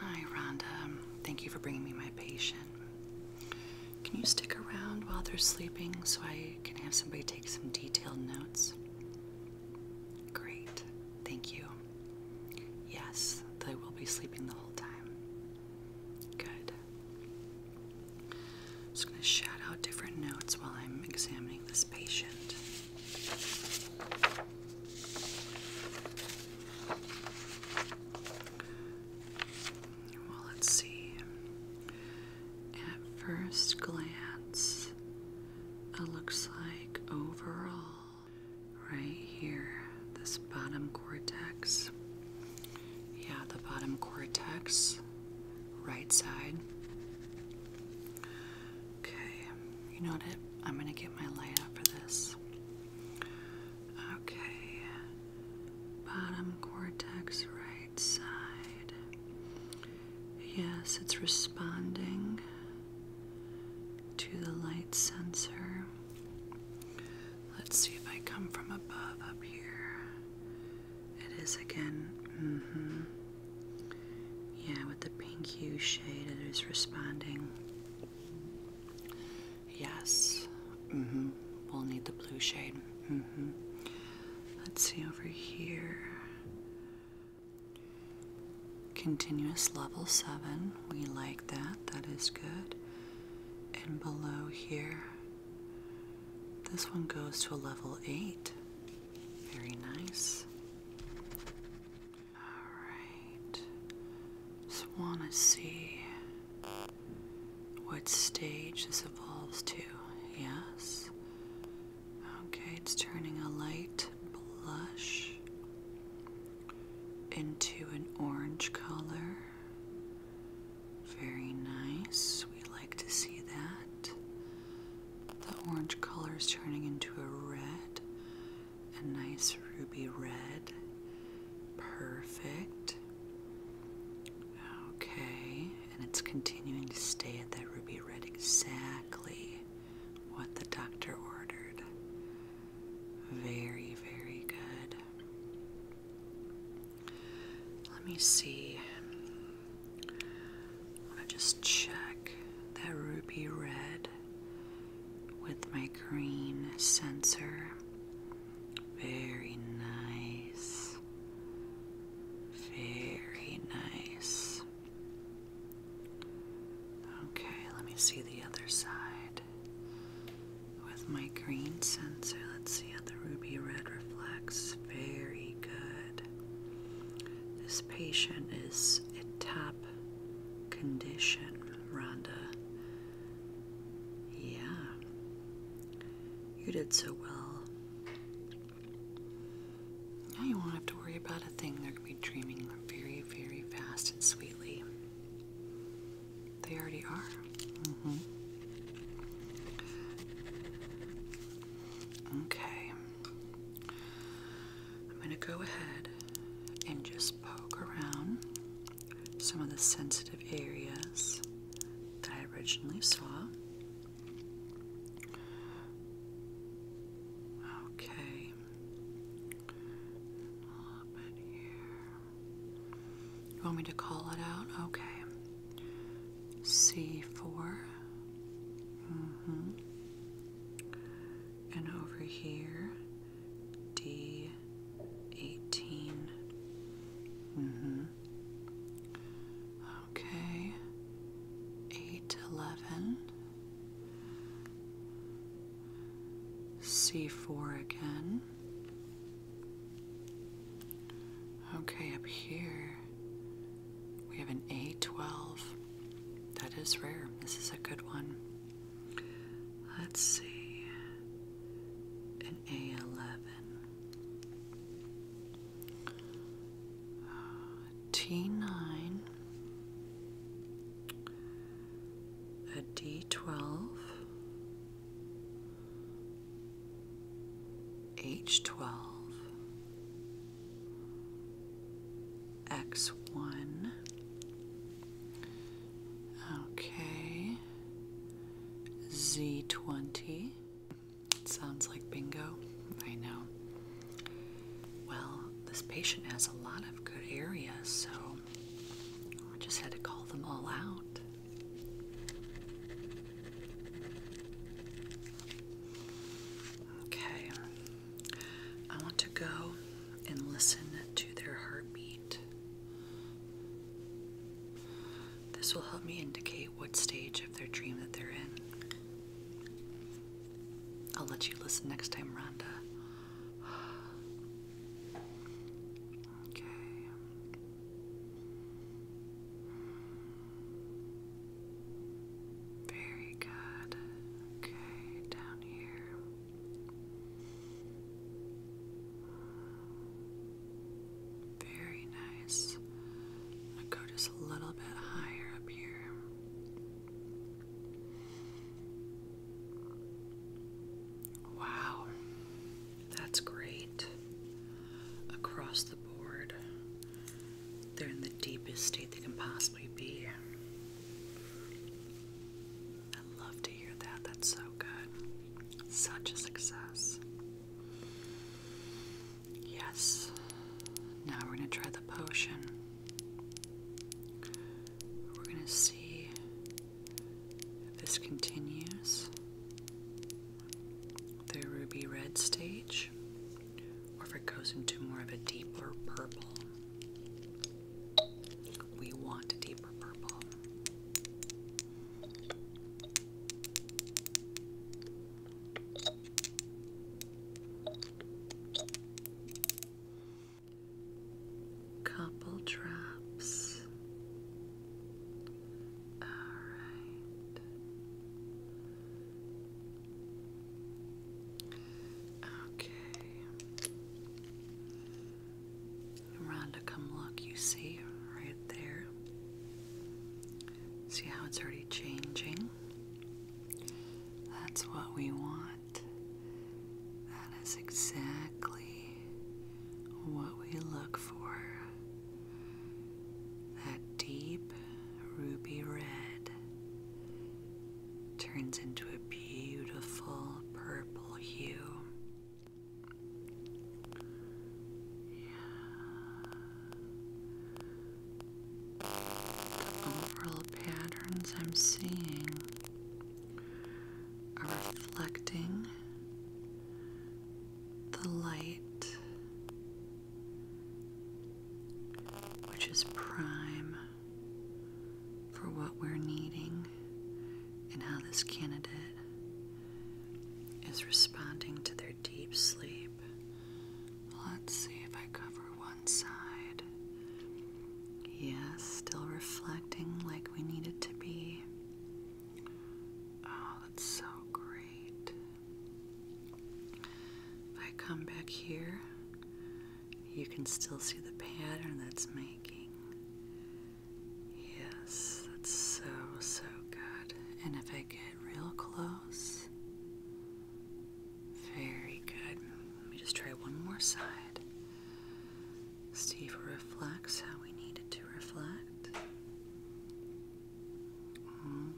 Hi, Rhonda. Thank you for bringing me my patient. Can you stick around while they're sleeping so I can have somebody take some detailed notes? Great. Thank you. Yes, they will be sleeping the whole time. Good. I'm just going to shout out different notes while I'm examining this patient. Well, let's see. At first glance, it looks like overall, right here, this bottom cortex. Yeah, the bottom cortex, right side. Okay, you know what? I'm gonna get my light up for this. Okay, bottom cortex, right side. Yes, it's responding to the light sensor. Let's see if I come from above up here. It is again. Mm hmm. Yeah, with the pink hue shade, it is responding. Yes. Mm hmm. We'll need the blue shade. Mm hmm. Let's see over here. Continuous level 7. We like that. That is good. And below here, this one goes to a level 8. Very nice. Alright. Just want to see what stage this evolves to. Yes? Okay, it's turning a light blush into an orange color. Very nice. We like to see that. The orange color is turning into a red, a nice ruby red. Perfect. Okay, and it's continuing to stay at that ruby red exactly what the doctor ordered. Very, very good. Let me see. I'm just check that ruby red with my green sensor. Very nice. Very nice. Okay, let me see the other side. With my green sensor, let's see how the ruby red reflects. Very good. This patient is in top condition, Rhonda. Yeah, you did so well. Now you won't have to worry about a thing. They're going to be dreaming very, very fast and sweetly. They already are. Mm-hmm. Okay. I'm going to go ahead and just poke around some of the sensitive areas that I originally saw. Okay, a little bit here. You want me to call it out? Okay. C4. -hmm. And over here, D18. Mm hmm. Okay, 811. C4 again. Okay, up here, we have an A12. That is rare. This is a good one. Let's see. An A11. Uh, T9. A 11 t 9 ad 12 H twelve X one. Okay. Z twenty. Sounds like bingo. I know. Well, this patient has a lot of good areas, so I just had to call them all out. Okay, I want to go and listen to their heartbeat. This will help me indicate what stage of their dream that they're in. I'll let you listen next time, Rhonda. Okay. Very good. Okay, down here. Very nice. I'm go just a little bit higher up here. Wow. That's great. Across the board, they're in the deepest state they can possibly be. I love to hear that. That's so good. Such a success. Yes. Now we're going to try the potion. We're going to see if this continues the ruby red stage, or if it goes into more of a deeper purple. We want a deeper purple. Couple drops. All right. Okay. Rhonda, come look. You see right there? See how it's already changing? That's what we want. That is exactly what we look for. That deep ruby red turns into a beautiful purple hue. Yeah. The overall patterns I'm seeing are reflecting the light, which is prime for what we're needing and how this candidate is responding to their deep sleep. Let's see if I cover one side. Yes, still reflecting like we need it to be. Oh, that's so great. If I come back here, you can still see the pattern that's making. Yes, that's so, so good. And if I get real close, very good. Let me just try one more side. See if it reflects how we needed to reflect.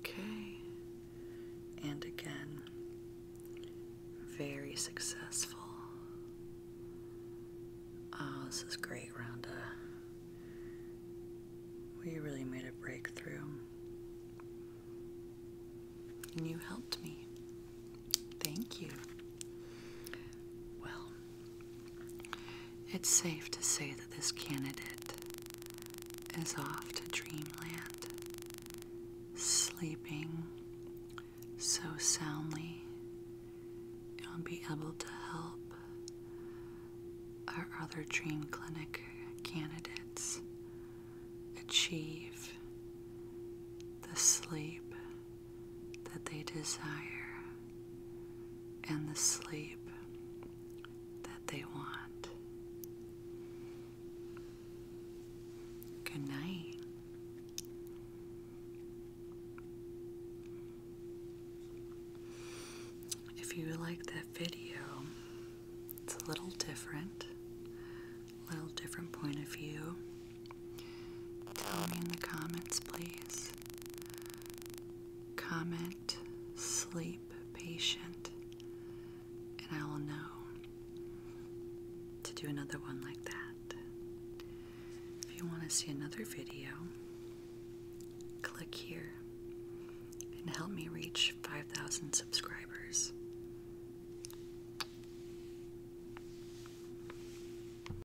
Okay. And again, very successful. Oh, this is great, Rhonda. We really made a breakthrough. And you helped me. Thank you. Well, it's safe to say that this candidate is off to dreamland, sleeping so soundly, you'll be able to help our other dream clinic candidates achieve the sleep that they desire and the sleep that they want. Good night. If you like that video, it's a little different, a little different point of view. Tell me in the comments, please. Comment, sleep, patient, and I will know to do another one like that. If you want to see another video, click here and help me reach 5,000 subscribers.